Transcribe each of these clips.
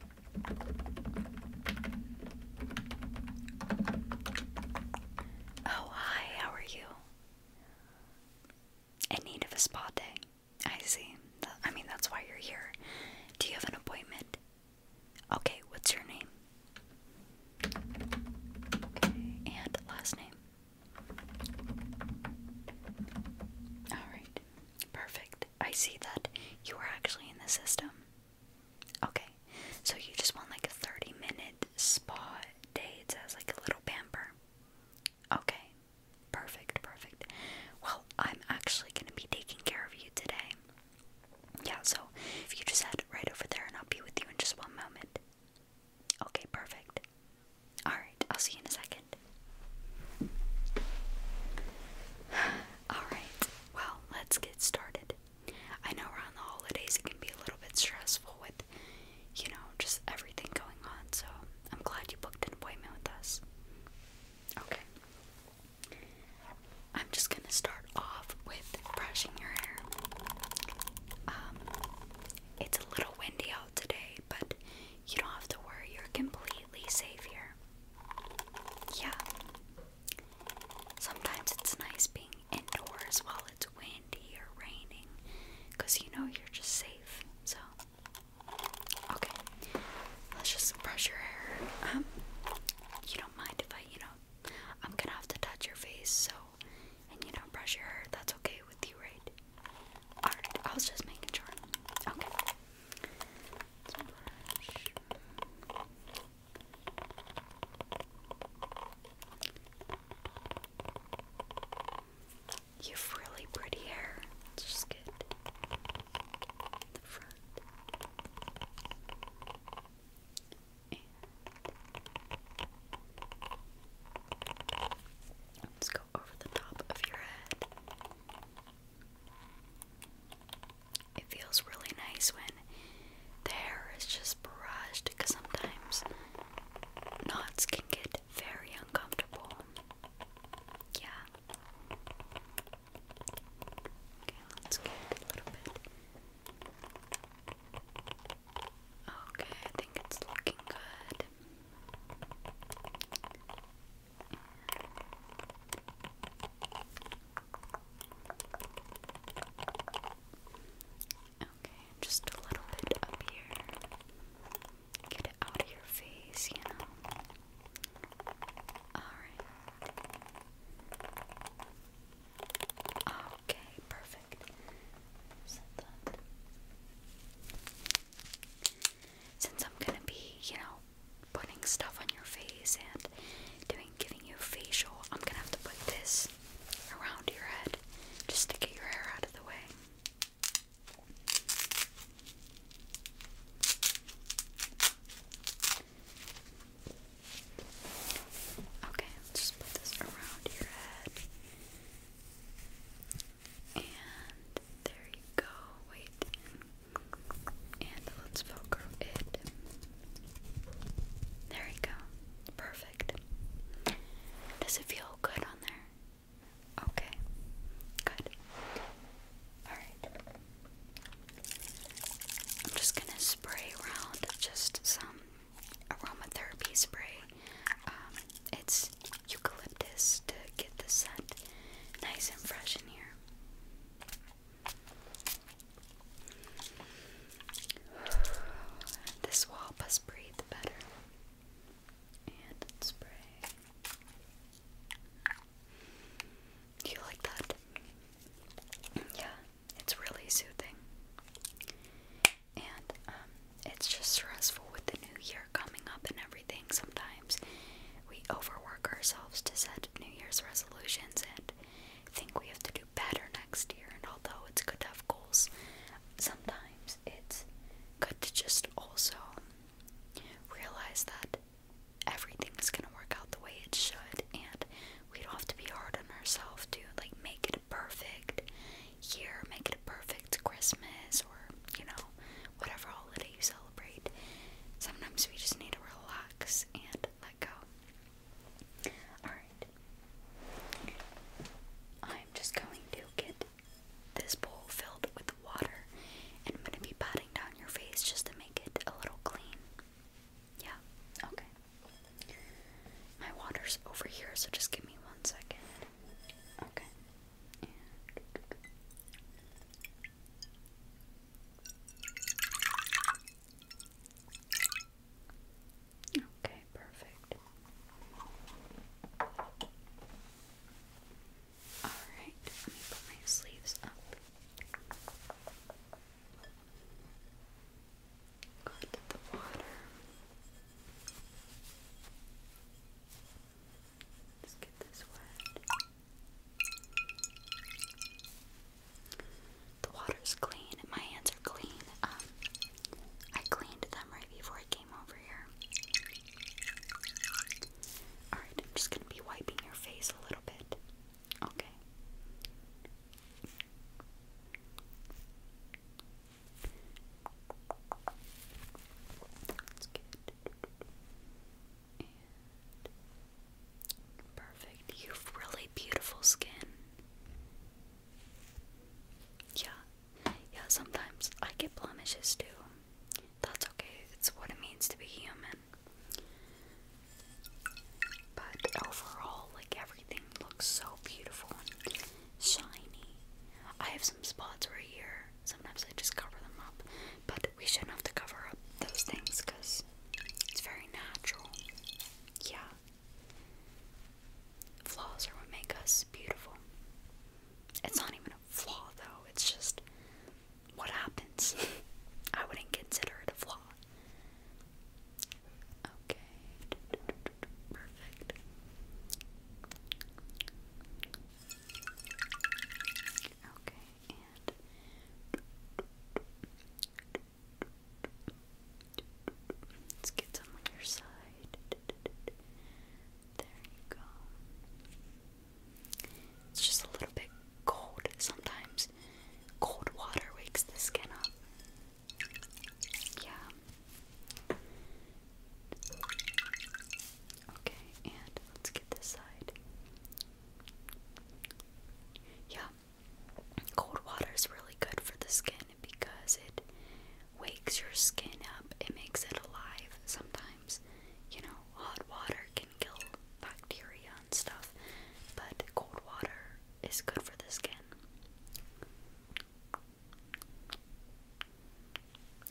Oh, hi, how are you? In need of a spa day. I see. I mean, that's why you're here. Do you have an appointment? Okay, what's your name? Okay, and last name. Alright. Perfect. I see that you are actually in the system. Okay. So you just want like a 30 minute spa day. It says like a little pamper. Okay. Perfect, perfect. Well, I'm actually going to be taking care of you today. Yeah, so if you just head right over there and I'll be with you in just one moment. Okay, perfect. Alright, I'll see you in a second. Alright, well, let's get started. I know around the holidays it can be a little bit stressful with, you know, just everything going on, so I'm glad you booked an appointment with us. Okay. I'm just gonna start off with brushing your hair. Um, it's a little windy out today, but you don't have to worry, you're complete completely safe here. Yeah. Sometimes it's nice being indoors while it's windy or raining because you know you're just safe. So, okay. Let's just brush your hair. Um, you don't mind if I, you know, I'm gonna have to touch your face, so, and you don't brush your hair, that's okay with you, right? Alright, I was just making sure. Okay. You've really pretty hair. It's just good. The front. let's go over the top of your head. It feels really nice when the hair is just barraged because sometimes knots can get very uncomfortable. Yeah. Okay, let's get a little bit. Okay, I think it's looking good. Okay, just a little bit up here. Get it out of your face, you know. Alright. Okay, perfect. Since I'm gonna be, you know, putting stuff on your face and doing giving you facial, I'm gonna have to put this around your head just to get your hair out of the way. Okay, let's just put this around your head. And there you go. Wait. And let's focus it. There we go. Perfect. Does it feel good on there? Okay. Good. Alright. I'm just gonna spray around just some aromatherapy spray. Um, it's eucalyptus to get the scent nice and fresh in here. This will help us breathe better. And spray. Do you like that? Yeah, it's really soothing. And um, it's just stressful with the new year coming up and everything. Sometimes we overwork ourselves to said New Year's resolutions and think we have to do better next year. And although it's good to have goals, sometimes it's good to just also realize that everything's going to work out the way it should. And we don't have to be hard on ourselves to like make it a perfect year, make it a perfect Christmas, or you know, whatever holiday you celebrate. Sometimes we just need to relax and let go. Alright. I'm just going to get this bowl filled with water and I'm going to be patting down your face just to make it a little clean. Yeah, okay. My water's over here, so just give me one second. Okay. Okay, perfect. All right, let me put my sleeves up. Go into the water. let get this wet. The water's clean. My hands are clean. Um, I cleaned them right before I came over here. Alright, I'm just gonna be wiping your face a little bit. Okay. That's good. And Perfect. You have really beautiful skin. Yeah. Yeah, sometimes I get blemishes too. That's okay. It's what it means to be human. But overall, like everything looks so beautiful and shiny. I have some spots right here. Sometimes I just cover them up but we shouldn't have to cover up those things because it's very natural. Yeah. Flaws are what make us beautiful. It's not even a flaw, though, it's just what happens. I wouldn't consider it a flaw. Okay. Perfect. Okay let's get some on your side. There you go. It's just a little bit cold. Sometimes cold water wakes the skin up. Yeah. Okay, and let's get this side. Yeah, cold water is really good for the skin because it wakes your skin up, it makes it alive sometimes. You know, hot water can kill bacteria and stuff, but cold water is good for the skin.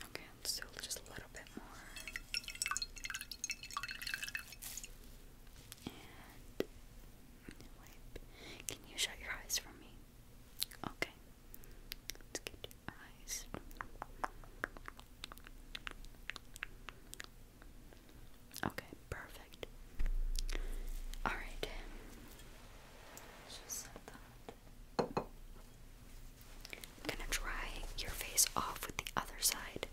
Okay, let just a little bit more. Can you shut your eyes for me? Okay. let your eyes. Okay, perfect. Alright. I'm gonna dry your face off with the other side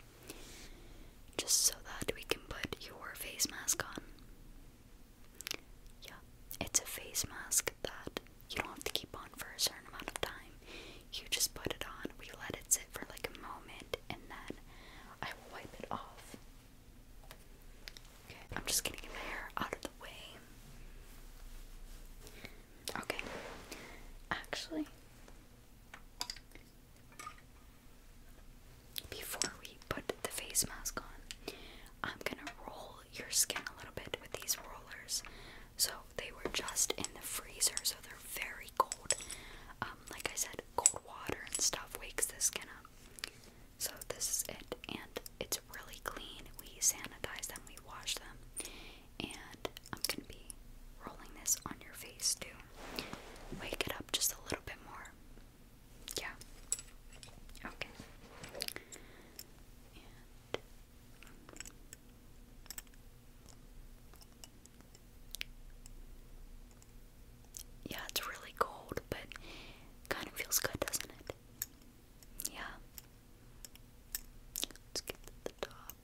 just so that we can put your face mask on. Yeah, it's a face mask that you don't have to keep on for a certain amount of time. You just put it on, we let it sit for like a moment, and then I will wipe it off. Okay, I'm just gonna get my hair out of the way. Okay, actually, before we put the face mask on, I'm gonna roll your skin a little bit with these rollers. So they were just in the freezer, so they're very cold. Um, like I said, cold water and stuff wakes the skin up. So this is it, and it's really clean. We sanitize them, we wash them, and I'm gonna be rolling this on your face too wake it up just a little bit more. Yeah. Okay. yeah, it's really cold, but kind of feels good, doesn't it? Yeah. Let's get to the top.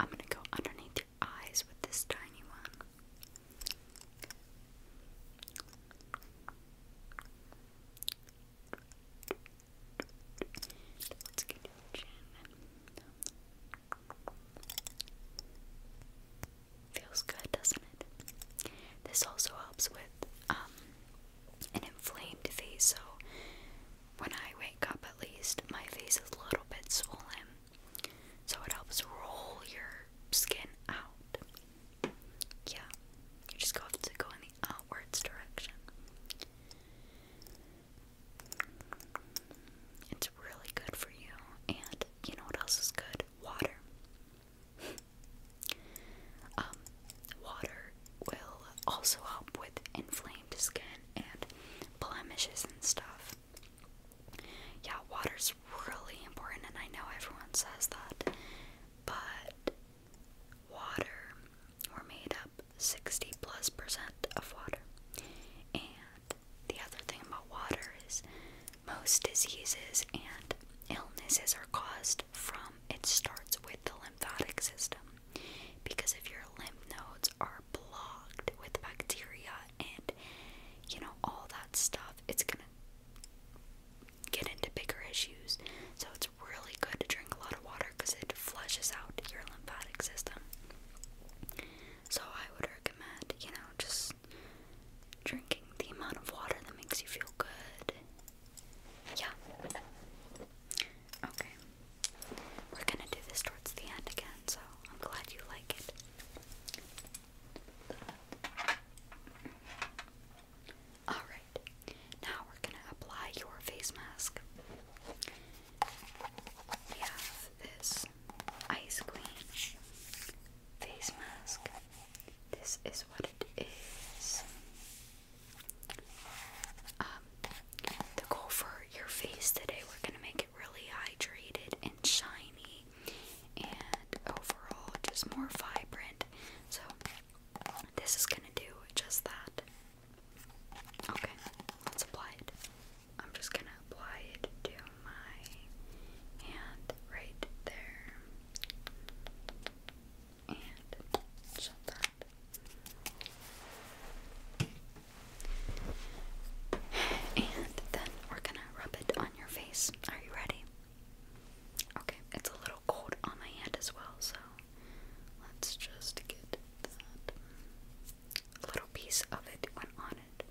I'm going to go underneath your eyes with this tiny one. Feels good, doesn't it? This also helps with um, an inflamed face, so when I wake up, at least my face is a little bit swollen, so it helps roll your skin out. Yeah, you just go to go in the outwards direction. It's really good for you. And you know what else is good? Water. um, water will also help with inflamed skin and blemishes and stuff. Yeah, is really important, and I know everyone says that, but water, we're made up 60 plus percent of water. And the other thing about water is most diseases and illnesses are caused from it starts with the lymphatic system. Because if your lymph nodes are blocked with bacteria and you know all that stuff, it's gonna get into bigger issues. So it's really good to drink a lot of water because it flushes out your lymphatic system. So I would recommend, you know, just drinking the amount of water that makes you feel good. Yeah. Okay. We're gonna do this towards the end again, so I'm glad you like it. Alright, now we're gonna apply your face mask. We have this Ice Queen face mask. This is what it is. Um, the goal for your face today, we're gonna make it really hydrated and shiny, and overall just more vibrant. So this is gonna do just that. Okay, let's apply it. I'm just gonna apply it to my hand right there. And shut that. And then we're gonna rub it on your face. Are you ready? Okay, it's a little cold on my hand as well, so let's just get that a little piece of it went on it.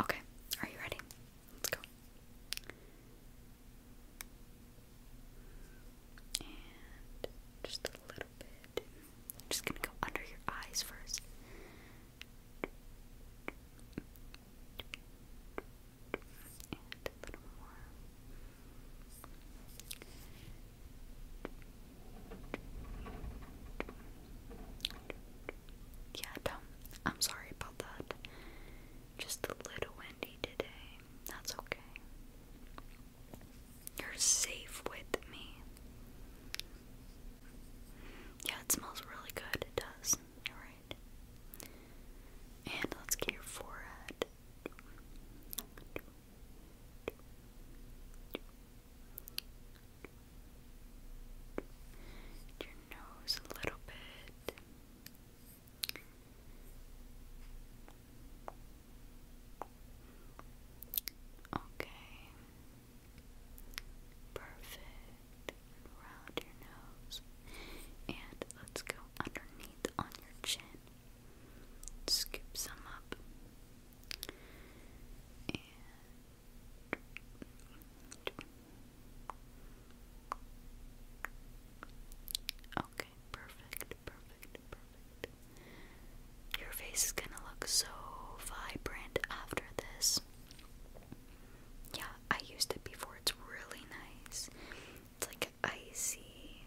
Okay, are you ready? Let's go. just a little bit. just gonna go under your eyes first. And a little more. Yeah, dumb. I'm sorry about that. Just a little windy today. That's okay. You're safe with me. Yeah, it smells really good. It does. You're right. And let's get your forehead your nose a little bit. Okay. Perfect. Round your nose. And let's go underneath on your chin. Scoop some up. Okay, perfect, perfect, perfect. Your face is gonna look so vibrant after this. Yeah, I used it before, it's really nice. It's like icy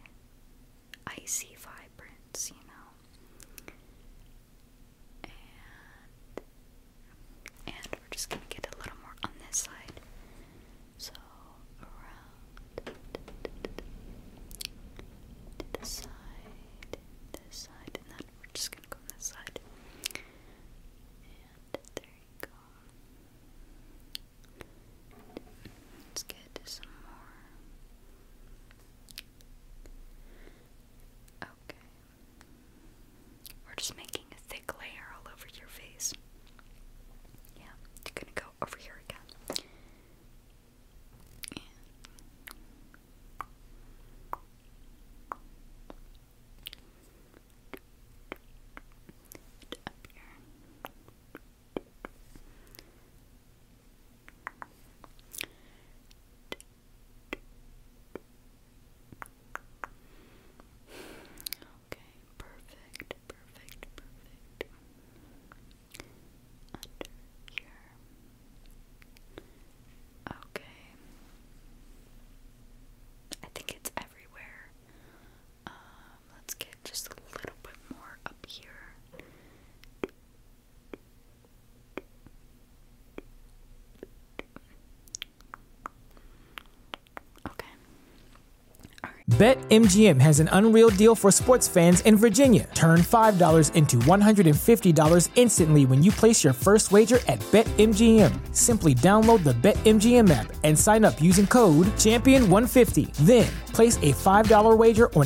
icy vibrance, you know. And and we're just gonna get a little more on this side. So around to side, this side, and then we're just gonna go on this side. And there you go. Let's get some more Okay. We're just making a thick layer all over your face. Yeah, you gonna go over here again. Okay, perfect, perfect, perfect. Under here. Okay. I think it's everywhere. Um, let's get just a little bit more up here. Okay. Right. BetMGM has an unreal deal for sports fans in Virginia. Turn $5 into $150 instantly when you place your first wager at BetMGM. Simply download the BetMGM app and sign up using code Champion150. Then place a $5 wager on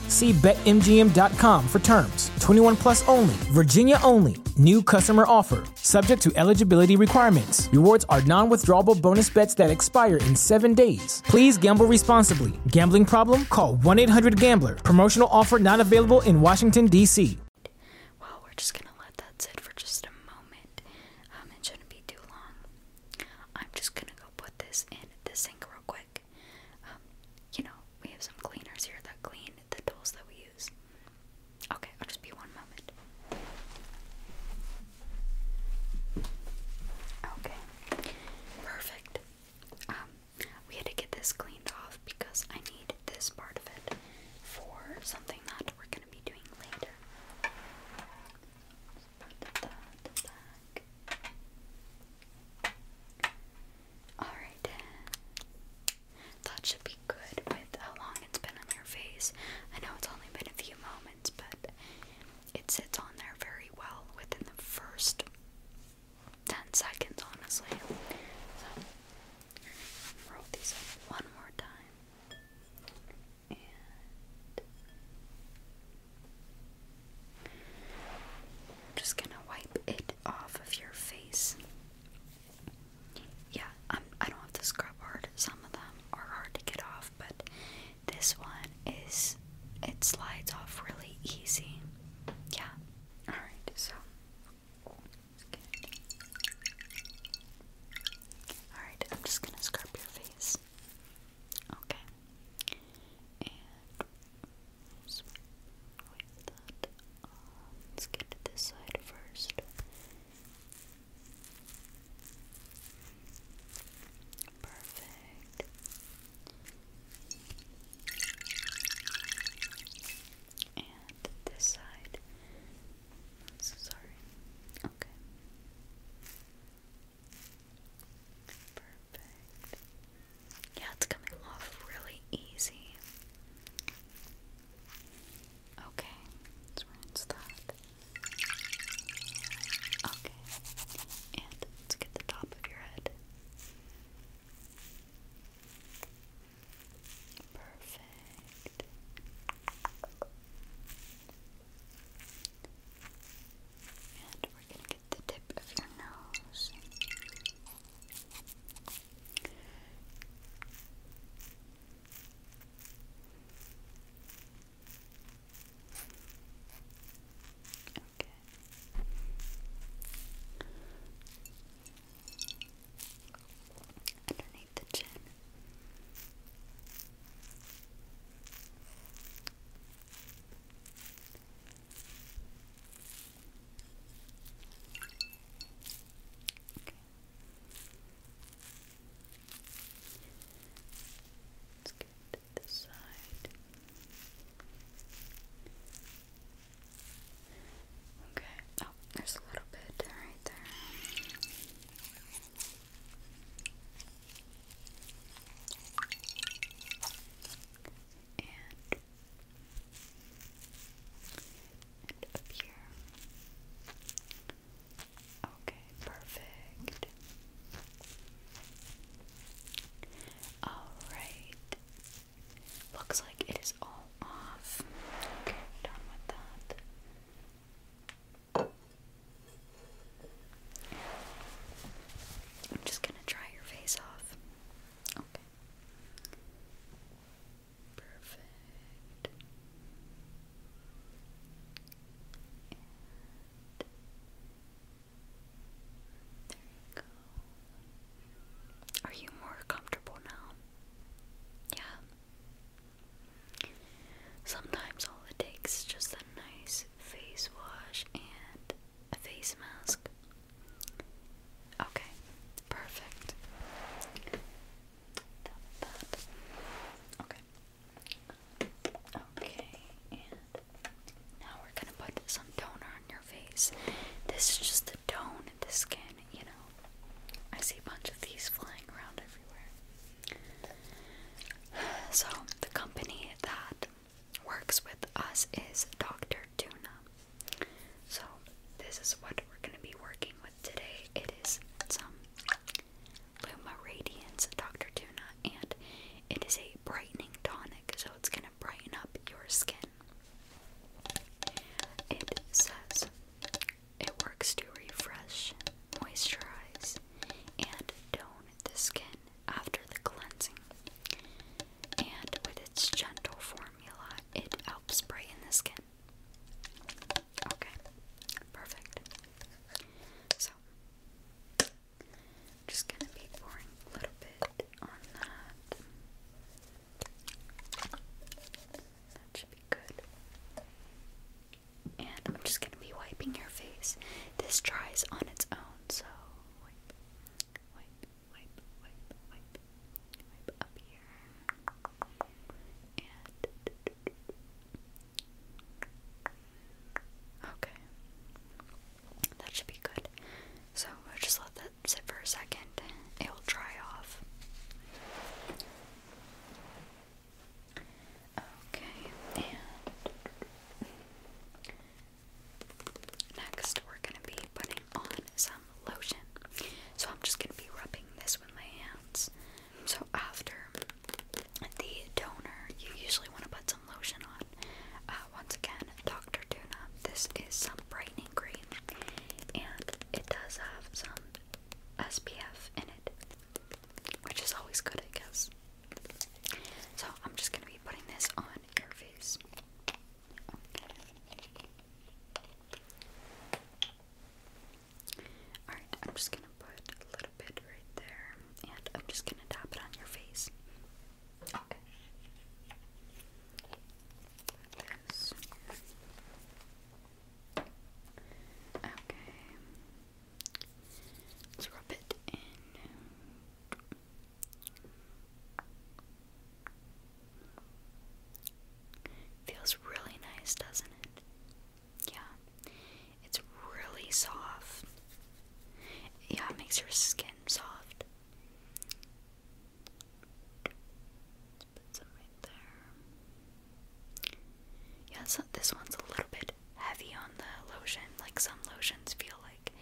See BetMGM.com for terms. 21 plus only, Virginia only. New customer offer, subject to eligibility requirements. Rewards are non withdrawable bonus bets that expire in seven days. Please gamble responsibly. Gambling problem? Call 1 800 Gambler. Promotional offer not available in Washington, D.C. Well, we're just going to let that sit for just a moment. Um, it shouldn't be too long. I'm just going to go put this in the sink real quick. Um, you know, we have some cleaners here that clean the tools that we use. Okay, I'll just be one moment. Okay, perfect. Um, we had to get this cleaned off because I need this part of it for something that we're gonna be doing later. Alright. That should be good with how long it's been on your face. I know it's only been a few moments, but it sits on there very well within the first 10 seconds, honestly. So, roll these up one more time. I'm just gonna wipe it off of your face. Yeah, um, I don't have to scrub hard. Some of them are hard to get off, but this one is, it slides off really easy. Yeah. Alright, so. Alright, I'm just gonna scrub your face. Okay let's get to this side first. Perfect. And this side. I'm so sorry. Okay. Perfect. Yeah, it's coming off really easy. Okay, let's rinse that. Okay, and let's get the top of your head. Perfect. And we're going to get the tip of your nose. Okay. Underneath the chin. Okay. let this side. Okay. Oh, there's a little bit right there. And up here. Okay, perfect. Alright. Looks like it is all off. Okay, done with that. I'm just gonna dry your face off. Okay. Perfect. there you go. Are you more comfortable now? Yeah. Sometimes all it takes is just a nice face wash and a face mask. Okay, perfect. Okay. Okay, and now we're gonna put some toner on your face. This is just the tone of the skin, you know. I see a bunch of these flying around everywhere. So, the company that works with us is Dr. Tuna. So, this is what we're going to be working with today. It is some Luma Radiance Dr. Tuna, and it is a brightening tonic, so it's going to brighten up your skin. It says it works to refresh, moisturize, and tone the skin after the cleansing. And with its gentle formula, it helps brighten the skin. Okay, perfect. So, just gonna be pouring a little bit on that. That should be good. And I'm just gonna be wiping your face. This dries on its own, so okay, that should be good. So we'll just let that sit for a second. It will dry off. Okay, Next, we're going to be putting on some lotion. So, I'm just going to be rubbing this with my hands. So, after the toner, you usually want to put some lotion on. Uh, once again, Dr. Tuna, this is some brightening cream, and it does have some SPF in it, which is always good, I guess. So, I'm just going to be putting this on your face. Okay. Alright, I'm just gonna put a little bit right there and I'm just gonna tap it on your face. Okay. Okay. Let's rub it in. Feels really nice, doesn't it? Yeah. It's really soft. Yeah, it makes your skin soft. put some right there. Yeah, so this one's a little bit heavy on the lotion. Like some lotions feel like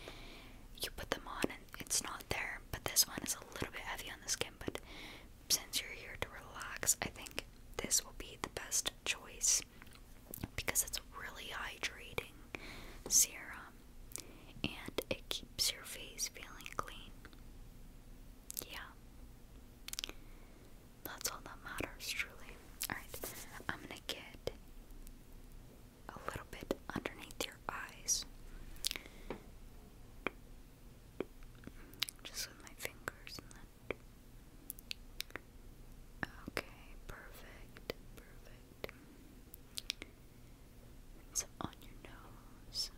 you put them on and it's not there. But this one is a little bit heavy on the skin, but since you're here to relax, I think this will be the best choice because it's really hydrating serum and it keeps your face feeling clean. Yeah. That's all that matters, truly. Alright, I'm gonna get a little bit underneath your eyes. Just with my fingers Okay, perfect, perfect. It's on your nose.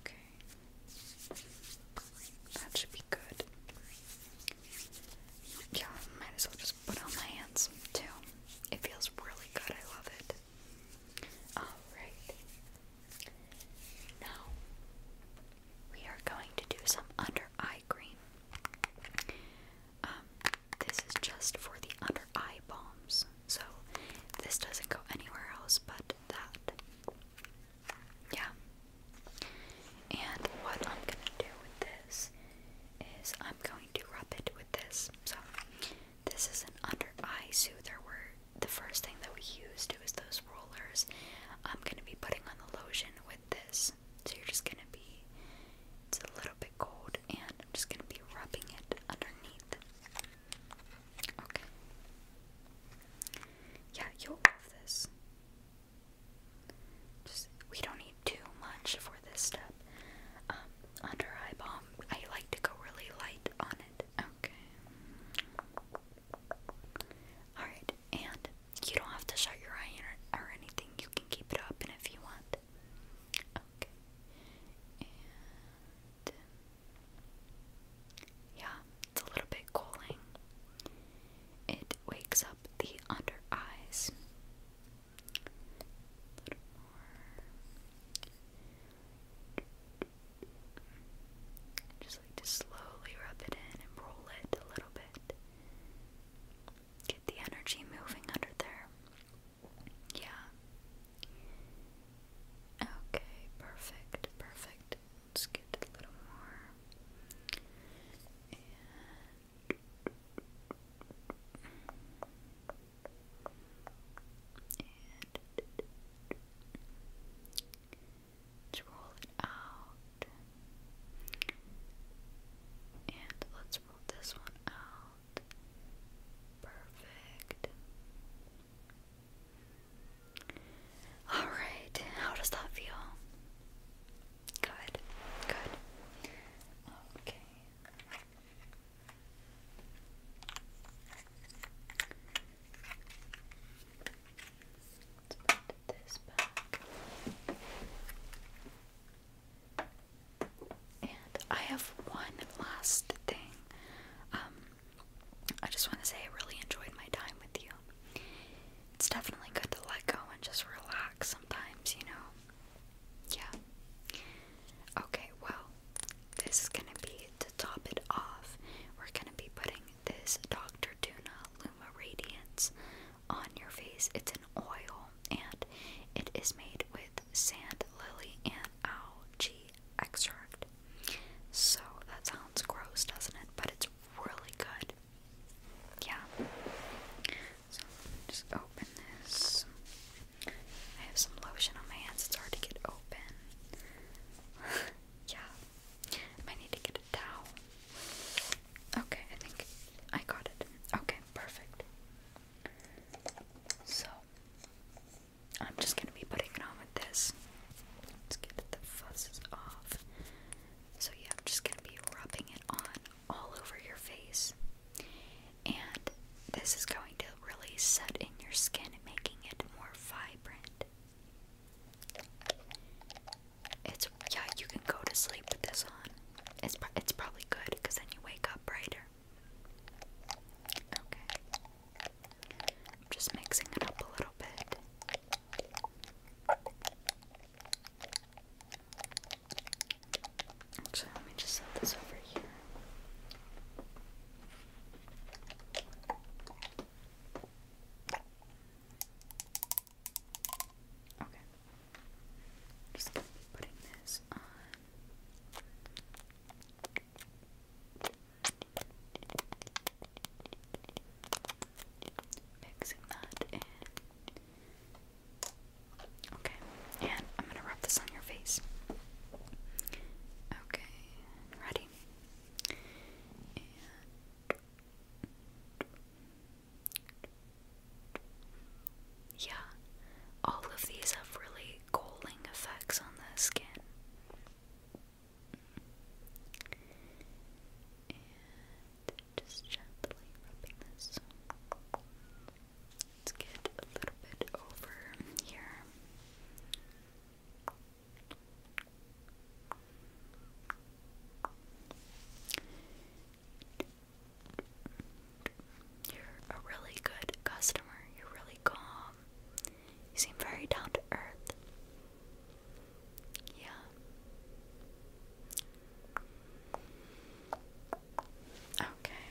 Okay. That should be good yeah, might as well just put on my hands too. It feels really good, I love it. Alright. Now we are going to do some under eye cream. Um, this is just for the under eye balms. So this doesn't go anywhere else but that. Yeah. And what I'm gonna do with this is I'm going to rub it with this. So this is an under eye So there were the first thing that we used was those rollers. I'm going to be putting on the lotion with this. So you're just going to be, it's a little bit cold and I'm just going to be rubbing it underneath. Okay. Yeah, you'll love this. Just, we don't need too much for this step. Um, under eye balm, I like to go really light on it. Okay. Alright, and you don't have to shut your eye or, or anything. You can keep it open if you want. Okay. Yeah, it's a little bit cooling. It wakes up the under eyes. Just like to slowly rub it in and roll it a little bit. Get the energy moving under there. Yeah. Okay, perfect, perfect. Let's get a little more let roll it out. And let's roll this one out. Perfect. Alright, how does that feel? Good, good. Okay, and I have one last thing. Um, I just want to say I really enjoyed my time with you. It's definitely good to let go and just relax sometimes, you know. Yeah. Okay, well, this is gonna be to top it off. We're gonna be putting this Dr. Tuna Luma Radiance on your face. It's an oil and it is made with sand lily and algae extract. So that sounds gross, doesn't it? But it's really good. Yeah. So just open this. I have some lotion on my hands, it's hard to get open. yeah. I need to get a towel. Okay, I think I got it. Okay, perfect. So I'm just gonna be putting it on with this. Let's get the fuzzes off. So yeah, I'm just gonna be rubbing it on all over your face. And this is going to really set in your skin, making it more vibrant. It's yeah, you can go to sleep with this on. It's it's probably good because then you wake up brighter. Okay, I'm just mixing it up a little bit. Actually, let me just set this over here. Okay. Just gonna be putting this on. Mixing that in. Okay, and I'm gonna rub this on your face. Okay, ready? yeah, all of these have really cooling effects on the skin. And just gently rubbing this. Let's get a little bit over here. You're a really good customer. You're really calm. You seem very down to earth. Yeah. Okay.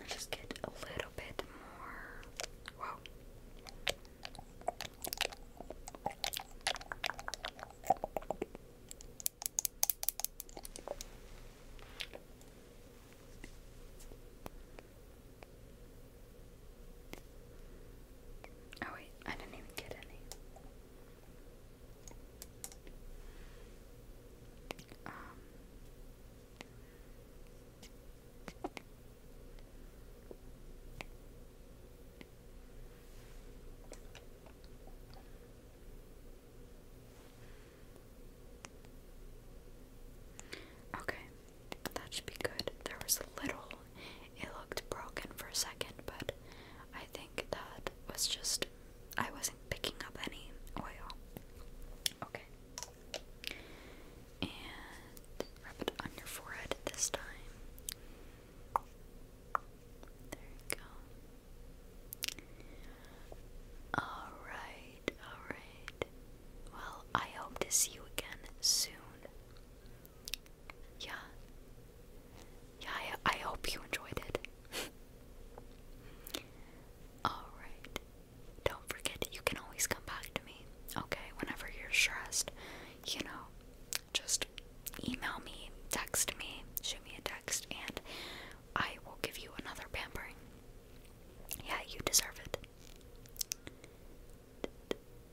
Let's just get a little bit more. Whoa. Oh, wait, I didn't even get any. Um, okay, that should be good. There was a little, it looked broken for a second, but I think that was just I wasn't picking up any oil. Okay. And rub it on your forehead this time. There you go. Alright, alright. Well, I hope to see you again soon. Yeah. Yeah, I hope you enjoyed it. Alright. Don't forget, you can always come back to me, okay? Whenever you're stressed, you know, just email me, text me, shoot me a text, and I will give you another pampering. Yeah, you deserve it.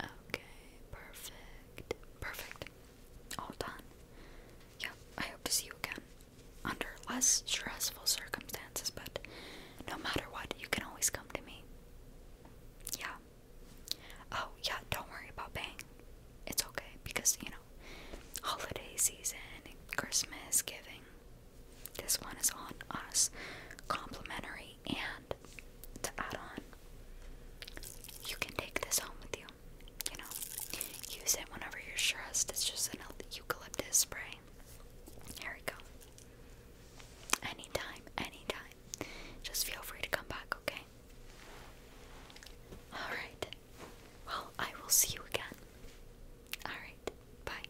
Okay, perfect. Perfect. All done. Yeah, I hope to see you again under less stressful circumstances, but no matter what, you can always come to me. Yeah. Oh, yeah, don't worry about paying. It's okay because, you know, holiday season, Christmas, giving. This one is on us. Complimentary and to add on, you can take this home with you you know, use it whenever you're stressed. It's just an eucalyptus spray. Here we go. Anytime, anytime. Just feel free to come back, okay? Alright. Well, I will see you again. Alright. Bye.